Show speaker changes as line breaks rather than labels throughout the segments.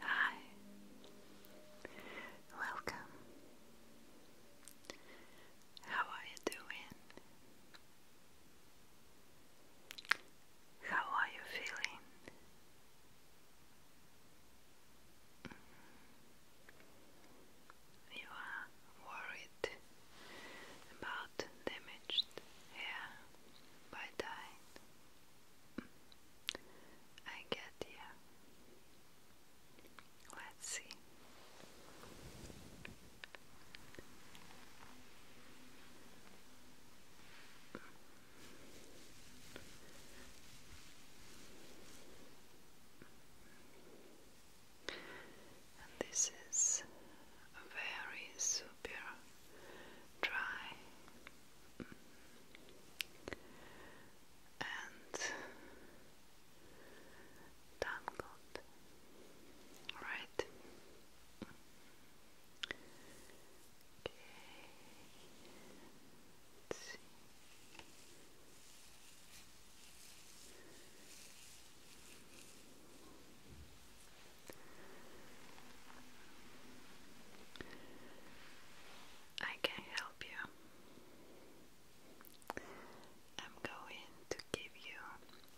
Hi, welcome. How are you doing? How are you feeling? Mm. You are worried about damaged hair by dyeing. Mm. I get you. Let's see. And this is very super dry and tangled, right? Okay. I can help you. I'm going to give you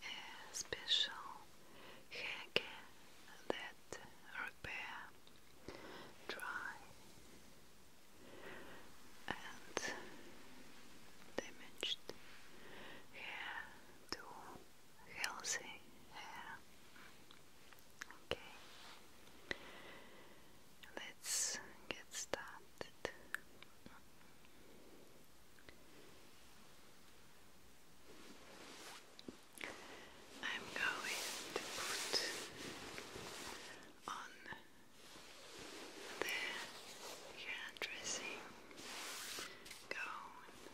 a special haircare that repair, dry, and damaged hair to healthy hair. Okay, let's get started. I'm going to put on the hair dressing gown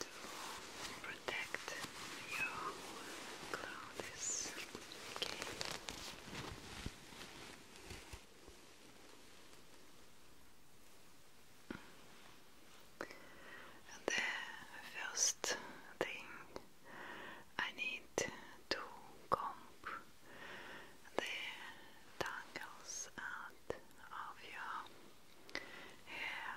to protect your clothes. Okay. The first thing I need to comb the tangles out of your hair.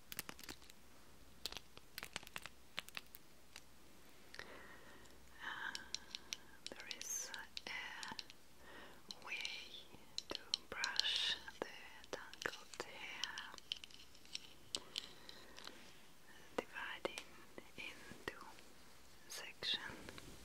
Uh, there is a way to brush the tangled hair, dividing into sections. Mm-hmm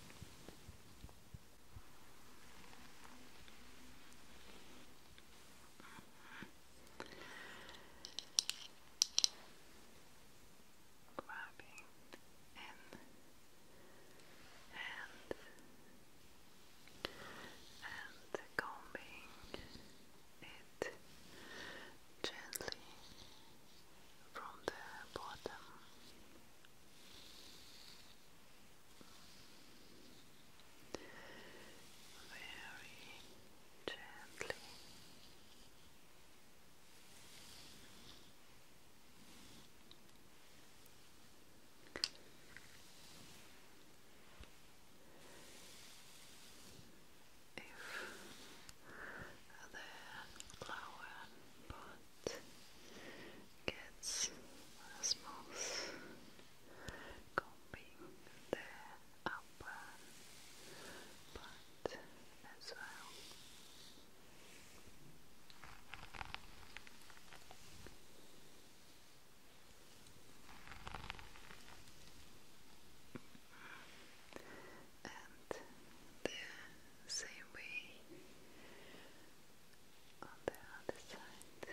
grabbing in and and combing it gently from the bottom. Very gently. If the flower pot gets smooth, combing the upper part as well. And the same way on the other side.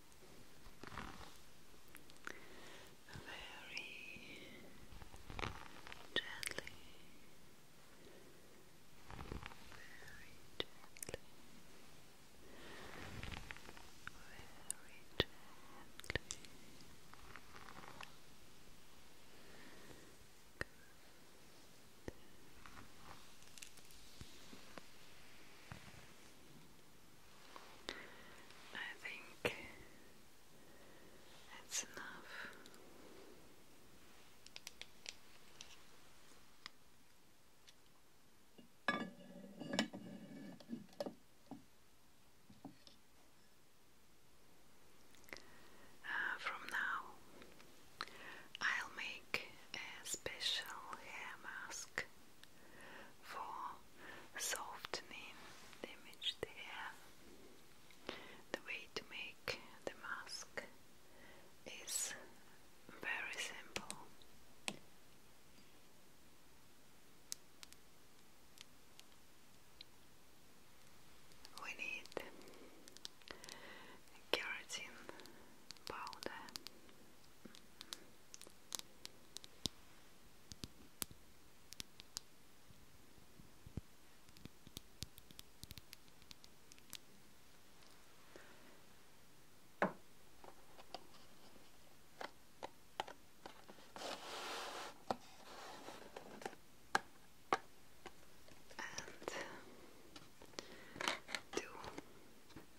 very gently, very gently, very gently. I think that's enough. Uh, from now, I'll make a special hair mask for softening damaged hair. The way to make the mask is very simple. We need keratin powder, and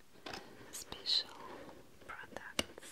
two special products.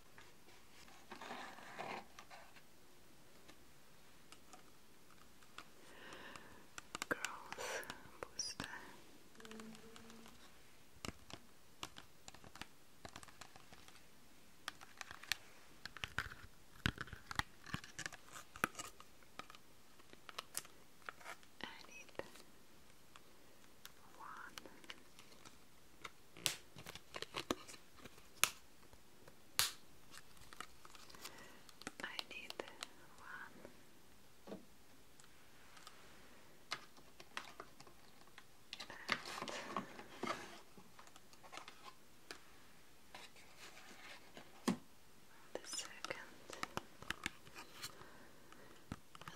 Growth booster. I need one I need one. the second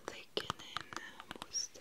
taken in uh, booster.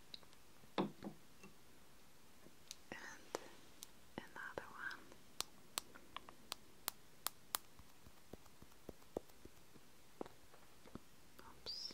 and another one. Oops.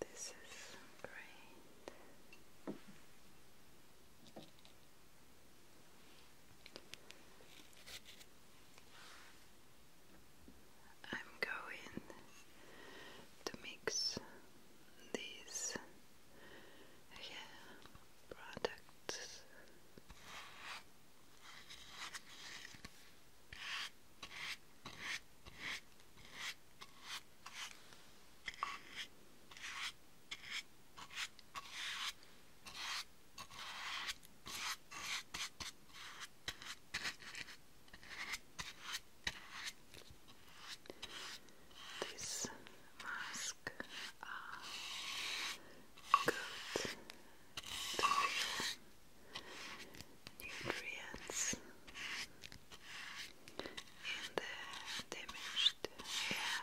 This is great. I'm going to mix these hair products. This mask good to nutrients in the damaged hair.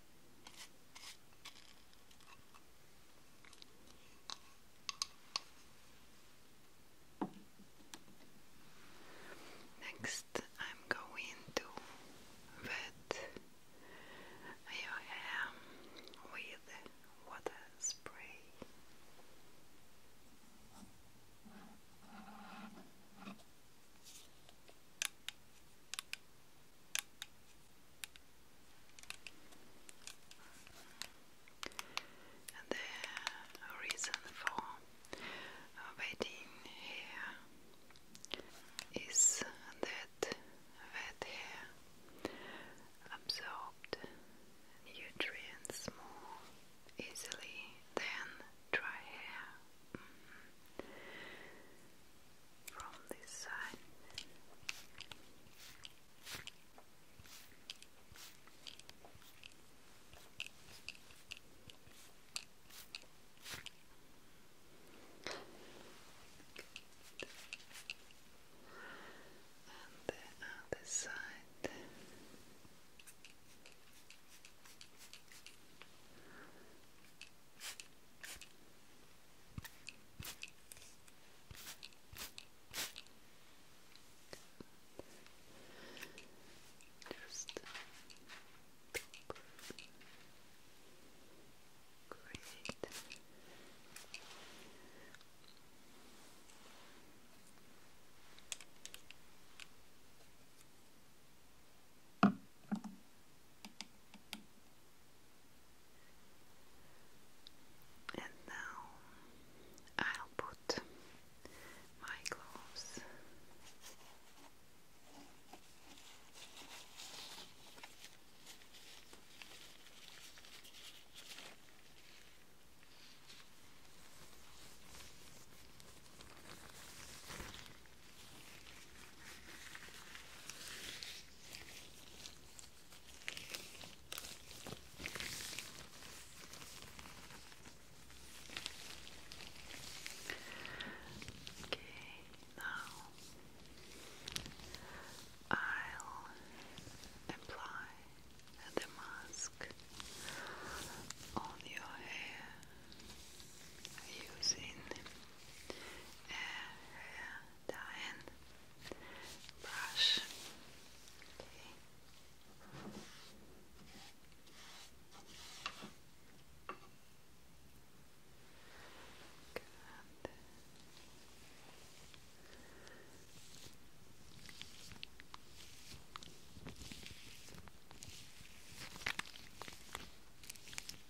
Next, I'm going to wet your hair with water spray. And the reason for waiting here is that wet hair absorbed nutrients more easily than dry hair. Mm-hmm from this side. And the other side. Just great. Good. And now I'll put my gloves. Okay, now I'll apply the mask on your hair using uh, dyeing brush. Okay.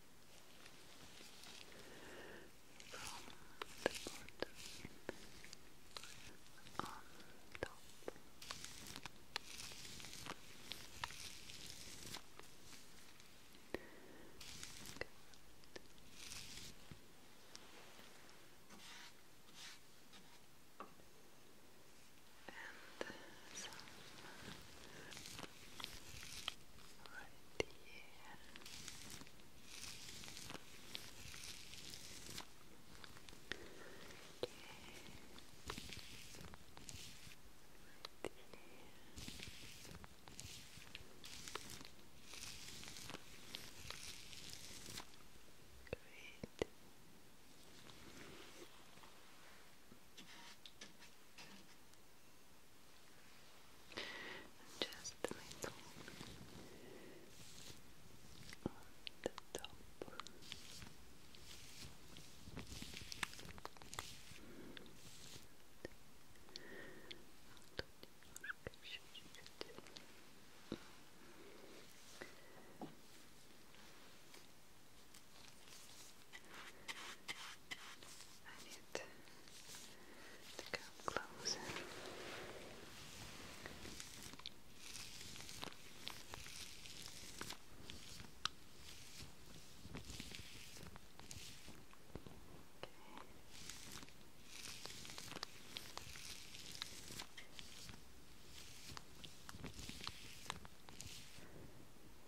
the bottom on top. Good. Good and some right here. Okay. Right Great. Just the middle on the top. Тут немножко чуть-чуть. I need to come closer. Okay.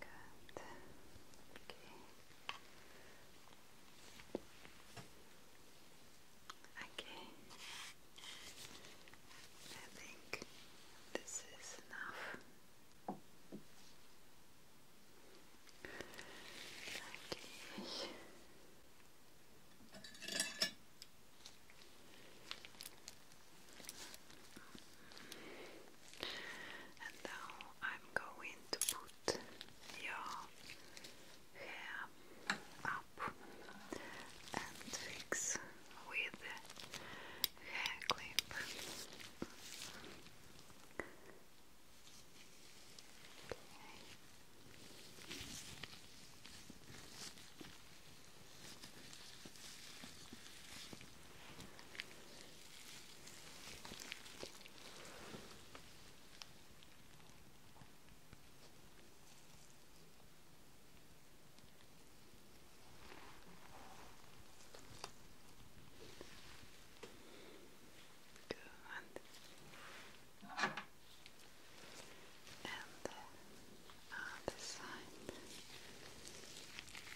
Good that. Okay. Okay. I think this is enough. Okay. And now I'm going to put your hair up and fix with hair clip. Good. And the other side.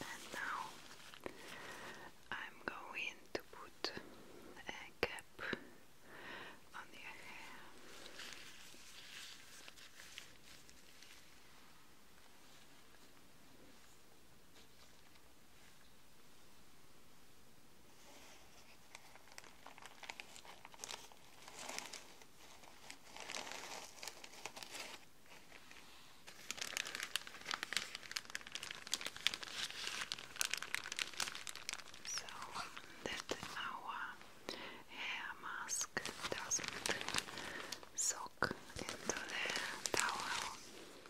And now I'm going to put a cap on your hair. So that our hair mask doesn't soak into the towel.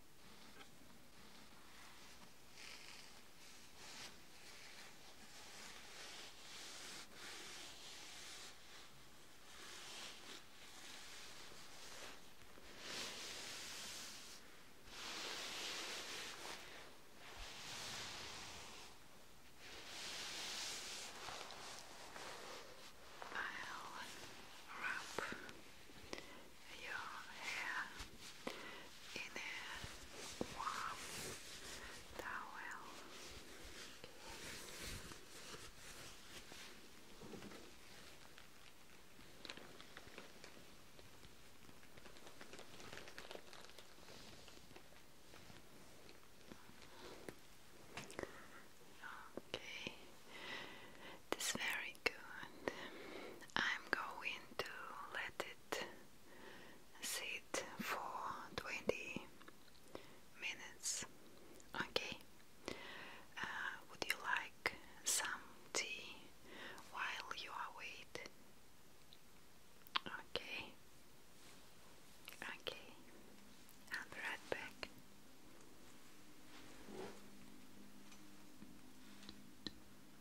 I'll wrap your hair in a warm towel. Okay, that's very good. I'm going to let it sit for 20 minutes. Okay. Uh, would you like some tea while you are Okay. Okay. I'll right back.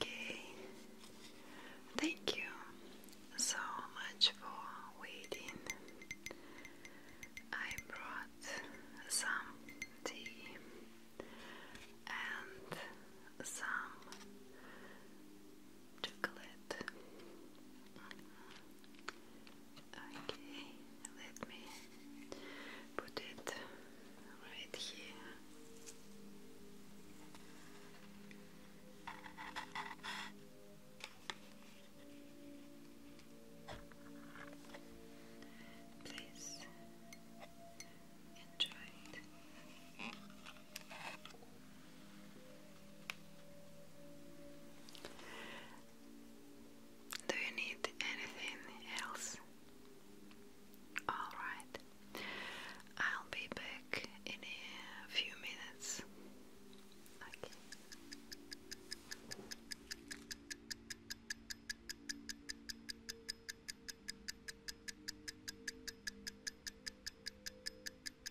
Okay, thank you so much for waiting. I brought some tea and some chocolate. Okay, let me put it right here. Please enjoy do you need anything else? Alright, I'll be back in a few minutes. Okay. I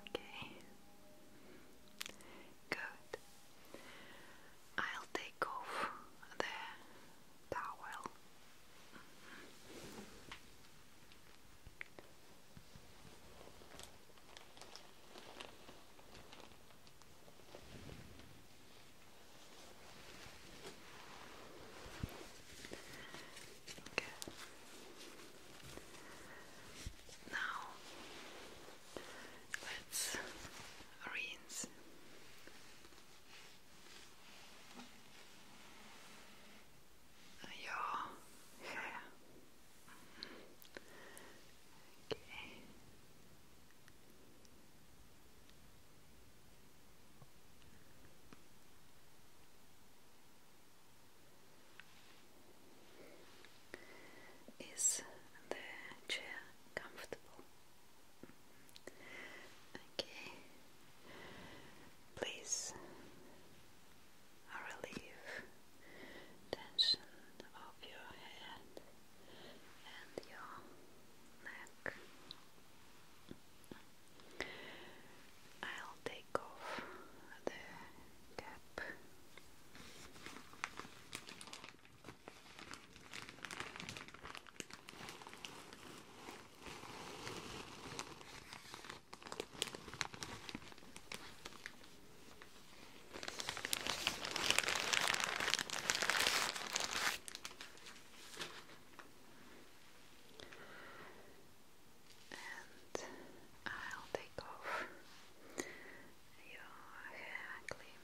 okay. Good. I'll take off the towel. Okay. Now let's rinse your hair. Is the chair comfortable? Okay, please relieve tension of your head and your neck. I'll take off the cap. And I'll take off your hair, clean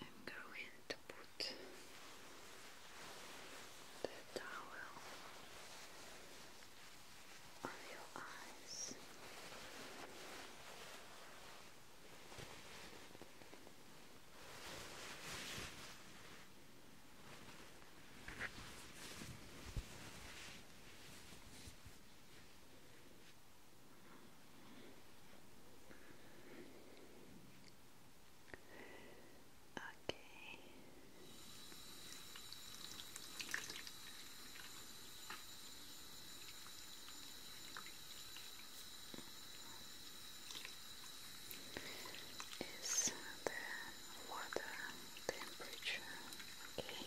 I'm going to put the towel on your eyes. Okay. Is the water temperature okay?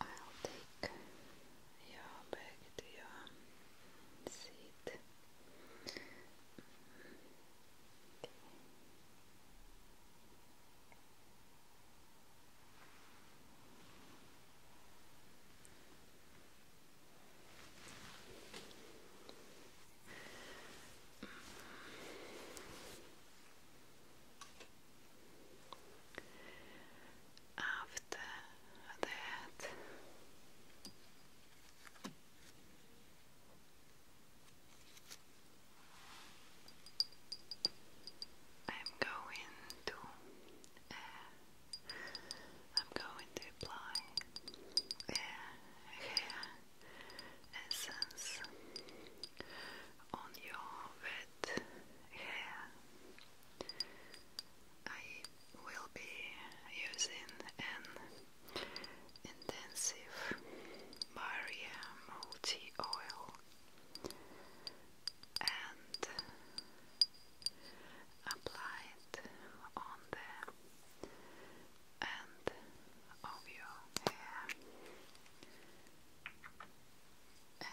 I'll take your back to your seat. After that, I'm going to uh, I'm going to apply uh, hair essence on your very red hair. I will be using an intensive barrier multi oil and apply it on the end of your hair and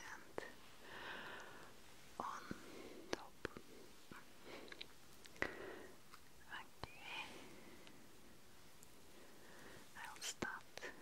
on top. Okay, I'll start with the end.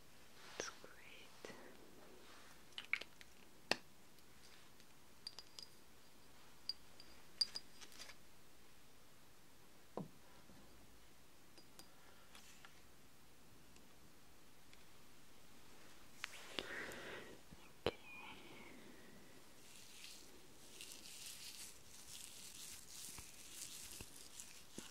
That's great. Okay.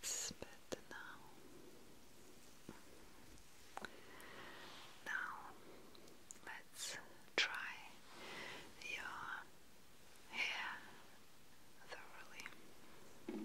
It's better now. Now let's try your hair thoroughly.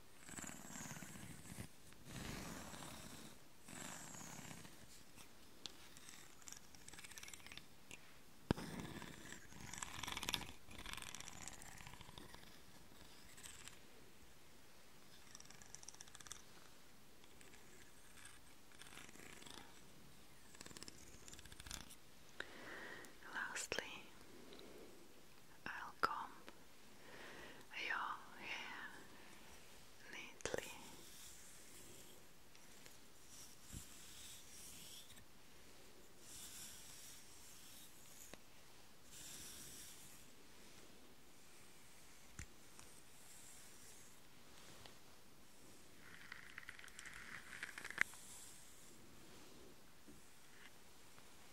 Lastly, I'll comb your hair neatly.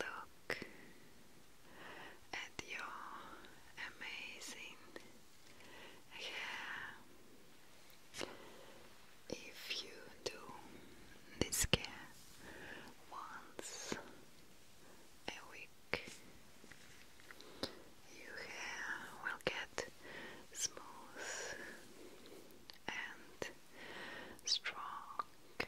Look at your amazing hair. If you do this care once a week, your hair will get smooth and strong. Good.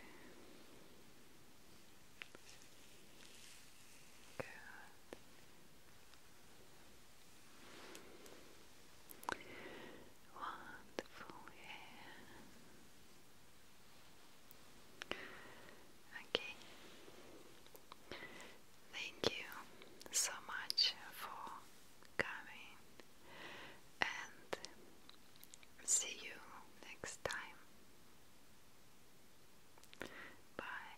Wonderful hair. Okay. Thank you so much for coming and see you next time. Bye.